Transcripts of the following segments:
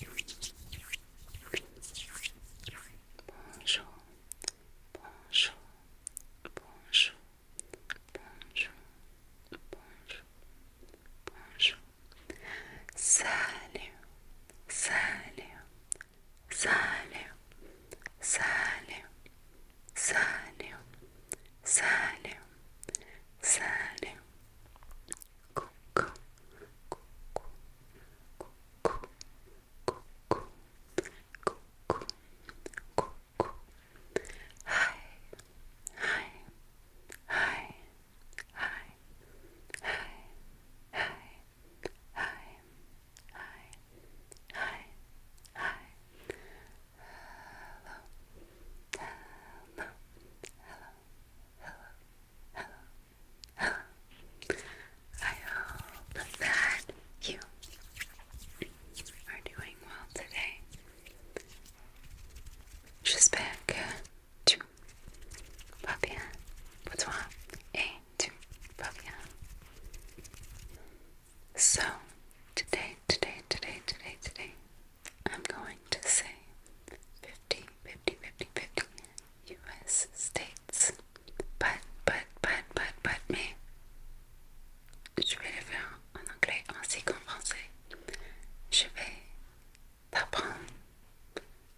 Bonjour, bonjour, bonjour, bonjour, bonjour, bonjour, Salut, salut, salut, salut, salut, salut, salut. Coucou, coucou, coucou, coucou, coucou, coucou. Hi, hi, hi. Hi. Hi. Hi. Hi. Hi. Hi. Hi. Hello. Hello. Hello. Hello. Hello. Hello. I hope that you are doing well today. Just back to two, pas bien. Pour So, today, today, today, today, today, I'm going to say 50, 50, 50, 50 US states. But, but, but, but, but, mais je vais le faire en anglais ainsi qu'en français. Je vais d'apprendre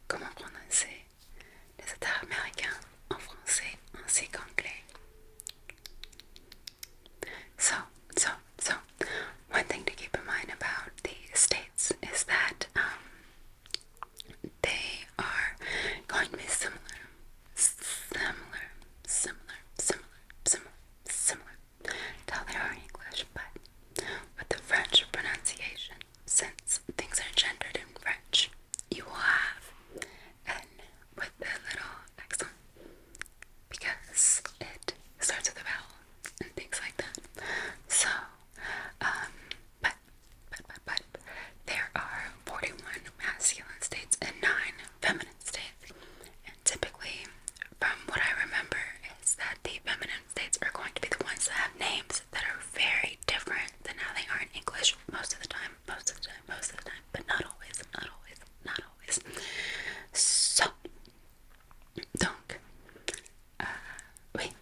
comment prononcer les États américains en français ainsi qu'anglais. So, so, so, one thing to keep in mind about the states is that um, they are going to be similar, similar, similar, similar, similar, similar tell English, but with the French pronunciation, since things are gendered in French, you will have N with the little accent because it starts with a vowel and things like that. So, um, but, but, but, but, there are 41 masculine states and 9 feminine states, and typically from what I remember, is that the feminine states are going to be the ones that have names that are very different than how they are in English most of the time, most of the time, most of the time, but not always, not always, not always. So, donc, euh, oui,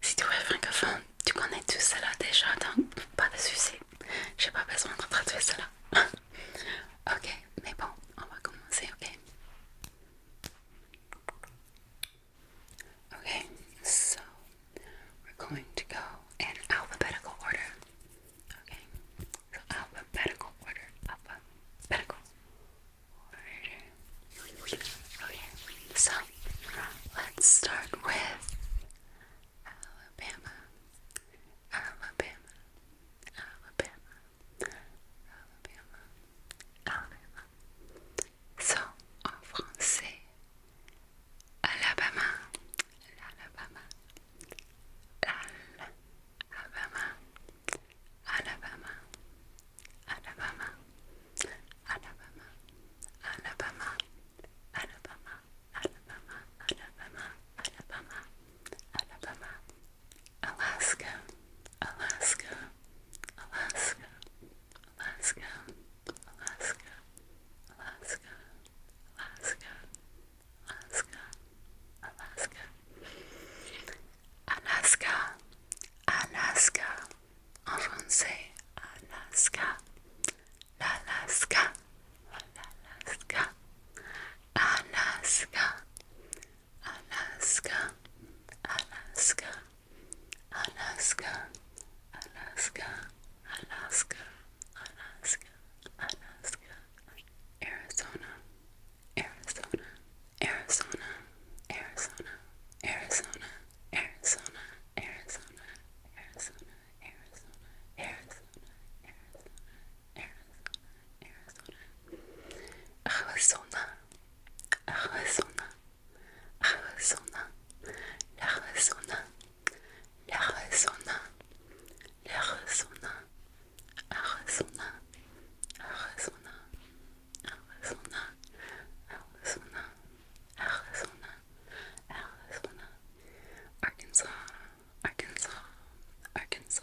si tu es francophone, tu connais tout cela déjà, donc pas de soucis, j'ai pas besoin de traduire cela. ok, mais bon, on va commencer, ok? Okay, so we're going to go in alphabetical order. Okay, so alphabetical order, alphabetical order. Okay, so let's start with Alabama, Alabama, Alabama, Alabama, Alabama. en français Alabama, Alabama, Alabama Alabama, Alabama, Alabama, Alabama, Alabama, Alabama, Alabama, Alabama, Alabama, Alaska, Alaska, Alaska, Alaska, Alaska, Alaska, Alaska, Alaska, Alaska, Alaska, Alaska, en Alaska, Alaska, Alaska, Alaska, Alaska, Alaska, Alaska, Alaska, Alaska, Arizona, Arizona, Arizona, Arizona, Arizona, Arizona, Arizona, Arizona, Arizona, Arizona, Arizona, Arizona, Arizona, Arizona. Arizona, Arizona, Arizona, l'Arizona, l'Arizona, l'Arizona, Arizona, Arizona, Arizona, Arizona, Arizona, Arizona, Arkansas, Arkansas, Arkansas.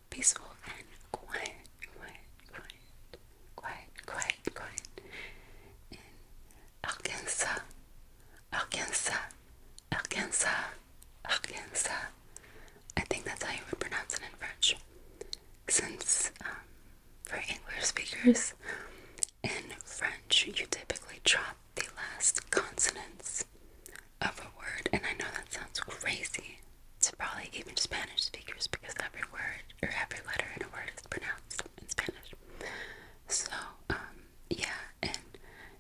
peaceful, and quiet, quiet, quiet, quiet, quiet, quiet in Arkansas, Arkansas, Arkansas, Arkansas. I think that's how you would pronounce it in French. Since um, for English speakers in French, you typically drop the last consonants of a word, and I know that sounds crazy to probably even Spanish speakers because every word or every letter in a word is pronounced in Spanish. So, um, yeah, and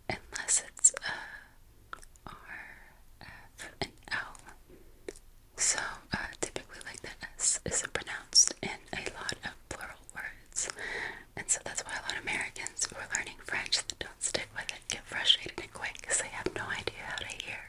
unless it's uh, and L. So, uh, typically, like the S isn't pronounced in a lot of plural words. And so that's why a lot of Americans who are learning French that don't stick with it get frustrated and quit because they have no idea how to hear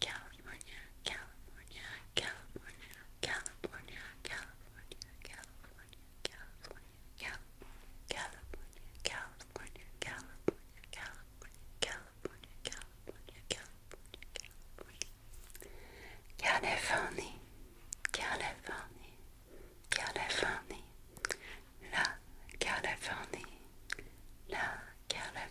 California, California, California, California, California, California, California, California, California, California, California, California, California, California, California, Californie, Californie, la Californie, la Californie.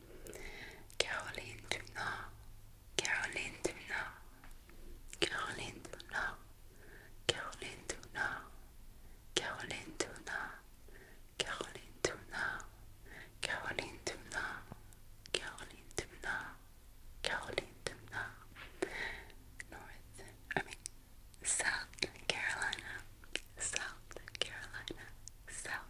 Caroline Dunant, Caroline Dunant, Caroline Dunant, Caroline Dunant, Caroline Dunant, Caroline Dunant, Caroline Dunant, Caroline Dunant, Caroline Dunant, North, I mean, South Carolina, South Carolina, South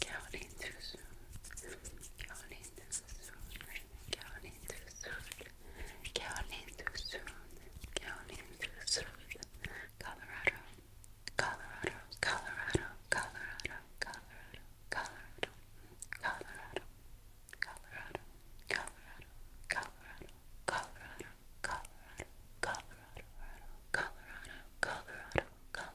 counting too soon, counting too soon, counting too soon, counting too soon, counting too soon, Colorado, Colorado, Colorado, Colorado, Colorado, Colorado, Colorado, Colorado, Colorado, Colorado, Colorado, Colorado, Colorado, Colorado, Colorado, Colorado, Colorado, Colorado,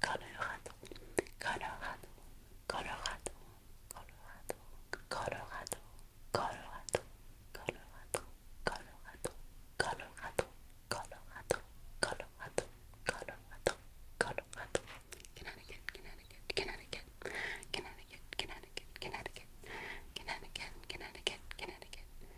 Colorado, Colorado, Colorado, Colorado, Colorado, Colorado, Colorado, Colorado, Colorado, Colorado, Colorado, Colorado, Colorado, Colorado, Connecticut, Connecticut, Connecticut, Connecticut, Connecticut, Connecticut, Connecticut, Connecticut, Connecticut,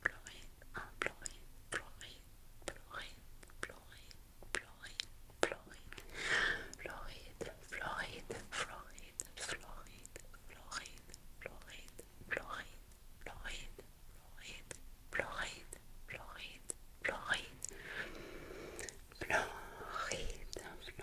pleurer, à pleurer, pleurer, pleurer, pleurer, pleurer, pleurer, Floride, Floride, Floride, Floride, Floride, Floride, Floride, Floride, Floride, Floride, Floride, Floride, Floride, Floride, Floride,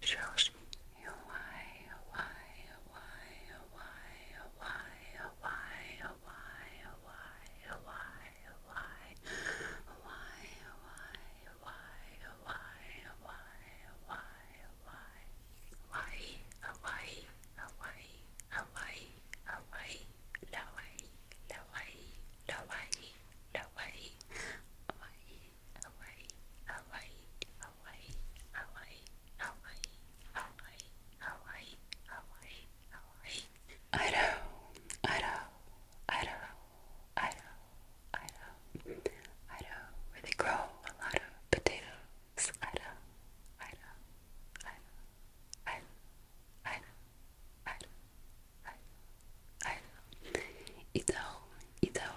shows you why, why, why, why, why, why, why, why, why, why, why, why, why, why, why, why. Hawaii, Hawaii, Hawaii, Hawaii, Hawaii, Hawaii, Hawaii, Hawaii, Hawaii, Hawaii, Hawaii, Hawaii, Hawaii, Hawaii, Hawaii, Hawaii, Hawaii, Hawaii, Hawaii. Idaho, Idaho, Idaho, where they grow a lot of potatoes. Idaho, Idaho, Idaho, Idaho, Idaho, Idaho, Idaho, Idaho. Idaho, Idaho,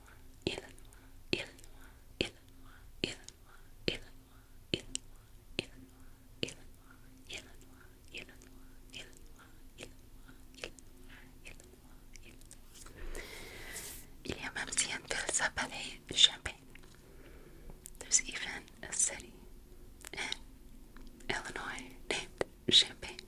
il, il, il, il, il, il, il, il, il, il, il, il y a même si une ville s'appelait Champagne. There's even a city in Illinois named Champagne.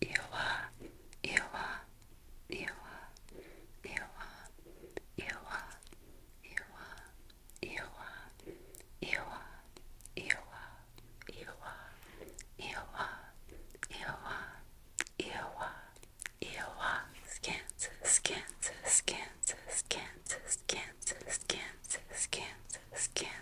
Iwa, Iwa, Iwa, Iwa, Iwa, Iwa, Iwa, Iwa, Iwa, Iwa, Iwa, Iwa, Iwa, Iwa, Kansas, Kansas, Kansas, Kansas, Kansas, Kansas, Kansas, Kansas.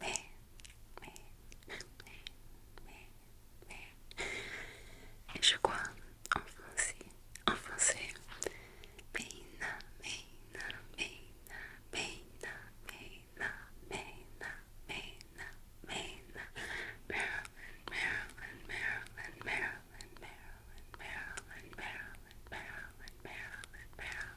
meh, meh, meh, meh, meh. je crois en français, en français. Maryland, Maryland, Maryland, Maryland, Maryland, Maryland, Maryland, Maryland, Maryland, Maryland, Maryland.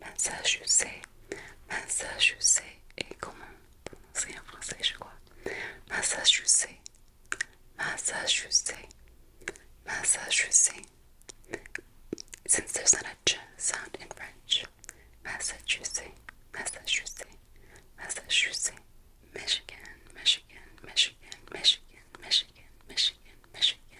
Ben ça je sais. Ben ça je sais. Et comment prononcer en français je crois. Ben ça je sais. Ben ça je sais. Ben ça je sais. Since there's not a ch sound in French. Massachusetts, Massachusetts, Massachusetts, Michigan, Michigan, Michigan, Michigan, Michigan, Michigan, Michigan,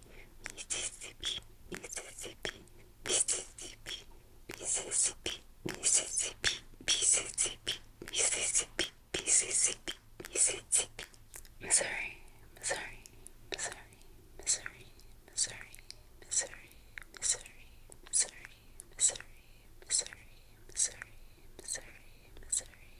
Mississippi, Mississippi, Mississippi, Mississippi, Mississippi, Mississippi, Mississippi, Mississippi, Mississippi, Missouri, Missouri, Missouri, Missouri, Missouri, Missouri, Missouri, Missouri, Missouri, Missouri, Missouri, Missouri, Missouri.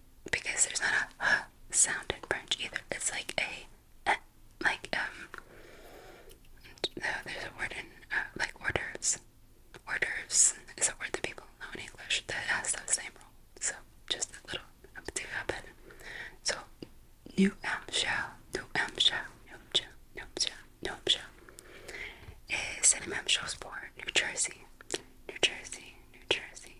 because there's not a sound in French either. It's like a eh, like um. No, there's a word in uh, like orders, orders. is a word that people know in English that has the same role. So just a little up to happen. So New Hampshire, New Hampshire, New Hampshire, New Hampshire, New Hampshire is an Hampshire for New Jersey, New Jersey, New Jersey,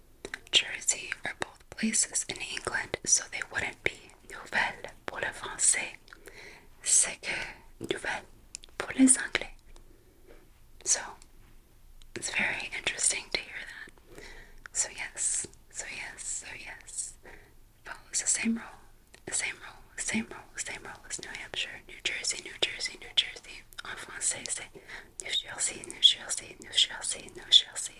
Jersey are both places in England, so they wouldn't be nouvelle pour le français. So it's very interesting to hear that. So yes, so yes, so yes. Follows the same rule. The same rule, same rule, same rule as New Hampshire, New Jersey, New Jersey, New Jersey. En français, c'est New Jersey, New Jersey, New Jersey, New Jersey,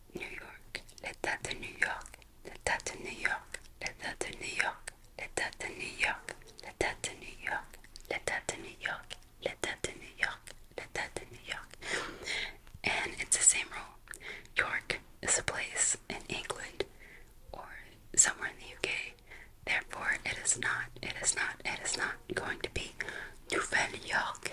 New York, l'État de New York, l'État de New York, l'État de New York, l'État de New York, l'État de New York, l'État de New York, l'État de New York, l'État de New York. And it's the same rule. York is a place in England or somewhere in the UK. Therefore, it is not, it is not, it is not going to be Nouvelle York.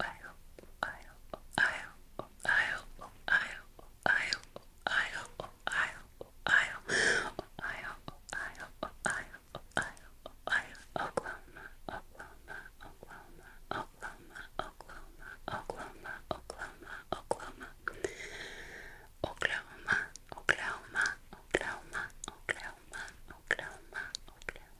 I hope, I hope, I hope, I hope, I hope, I hope, I hope, I hope, I hope, I hope, I hope, I hope, I hope, I hope, Oklahoma, Oklahoma, Oklahoma, Oklahoma, Oklahoma, Oklahoma, Oklahoma, Oklahoma, Oklahoma, Oklahoma, Oklahoma, Oklahoma, Oklahoma, Oklahoma.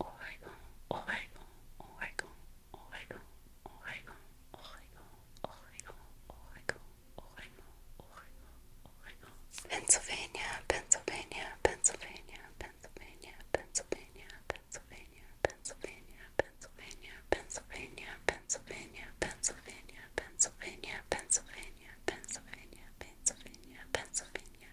Oregon, Oregon, Oregon, Oregon, Oregon, Oregon, Oregon, Oregon, Oregon, Oregon, Oregon, Pennsylvania, Pennsylvania, Pennsylvania, Pennsylvania, Pennsylvania, Pennsylvania, Pennsylvania, Pennsylvania, Pennsylvania, Pennsylvania, Pennsylvania, Pennsylvania, Pennsylvania, Pennsylvania, Pennsylvania, Pennsylvania,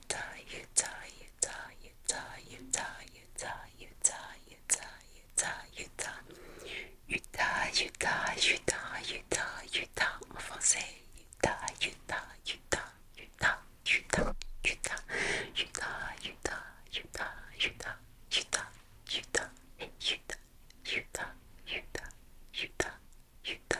Utah, Utah, Utah, Utah, Utah, Utah, Utah, Utah, Utah, Utah, Utah, Utah, Utah, Utah, Utah, en français, Utah, Utah, Utah, Utah, Utah, Utah, Utah, Utah, Utah, Utah, Utah, Utah, Utah, Utah, Utah, Utah, Utah, Utah,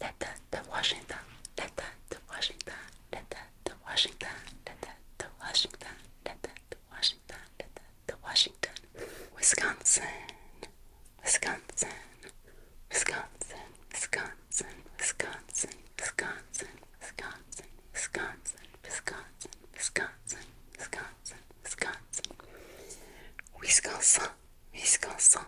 letter to Washington, letter to Washington, letter to Washington, letter to Washington, letter to Washington, letter to Washington, Wisconsin, Wisconsin, Wisconsin, Wisconsin, Wisconsin, Wisconsin, Wisconsin, Wisconsin, Wisconsin, Wisconsin, Wisconsin, Wisconsin, Wisconsin, Wisconsin.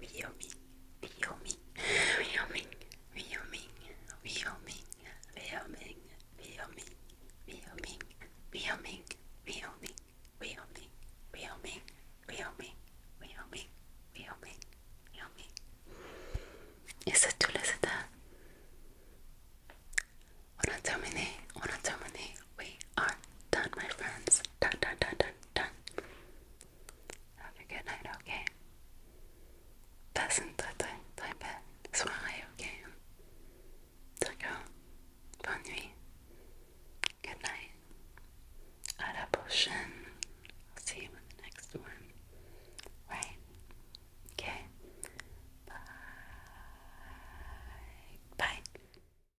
Wyoming, Wyoming, Wyoming, Wyoming, Wyoming, Wyoming, Wyoming, Wyoming, Wyoming, Wyoming, Wyoming, Wyoming, Wyoming, Wyoming, Wyoming, Wyoming. الست والستة ونتمنى ونتمنى we are done, my friends. Done, done, done, done, done. Have a good night, okay? Passend à toi, très belle soirée, okay? D'accord? Bonne nuit. Good night. À la prochaine. I'll see you in the next one. Right? Okay? Bye. Bye.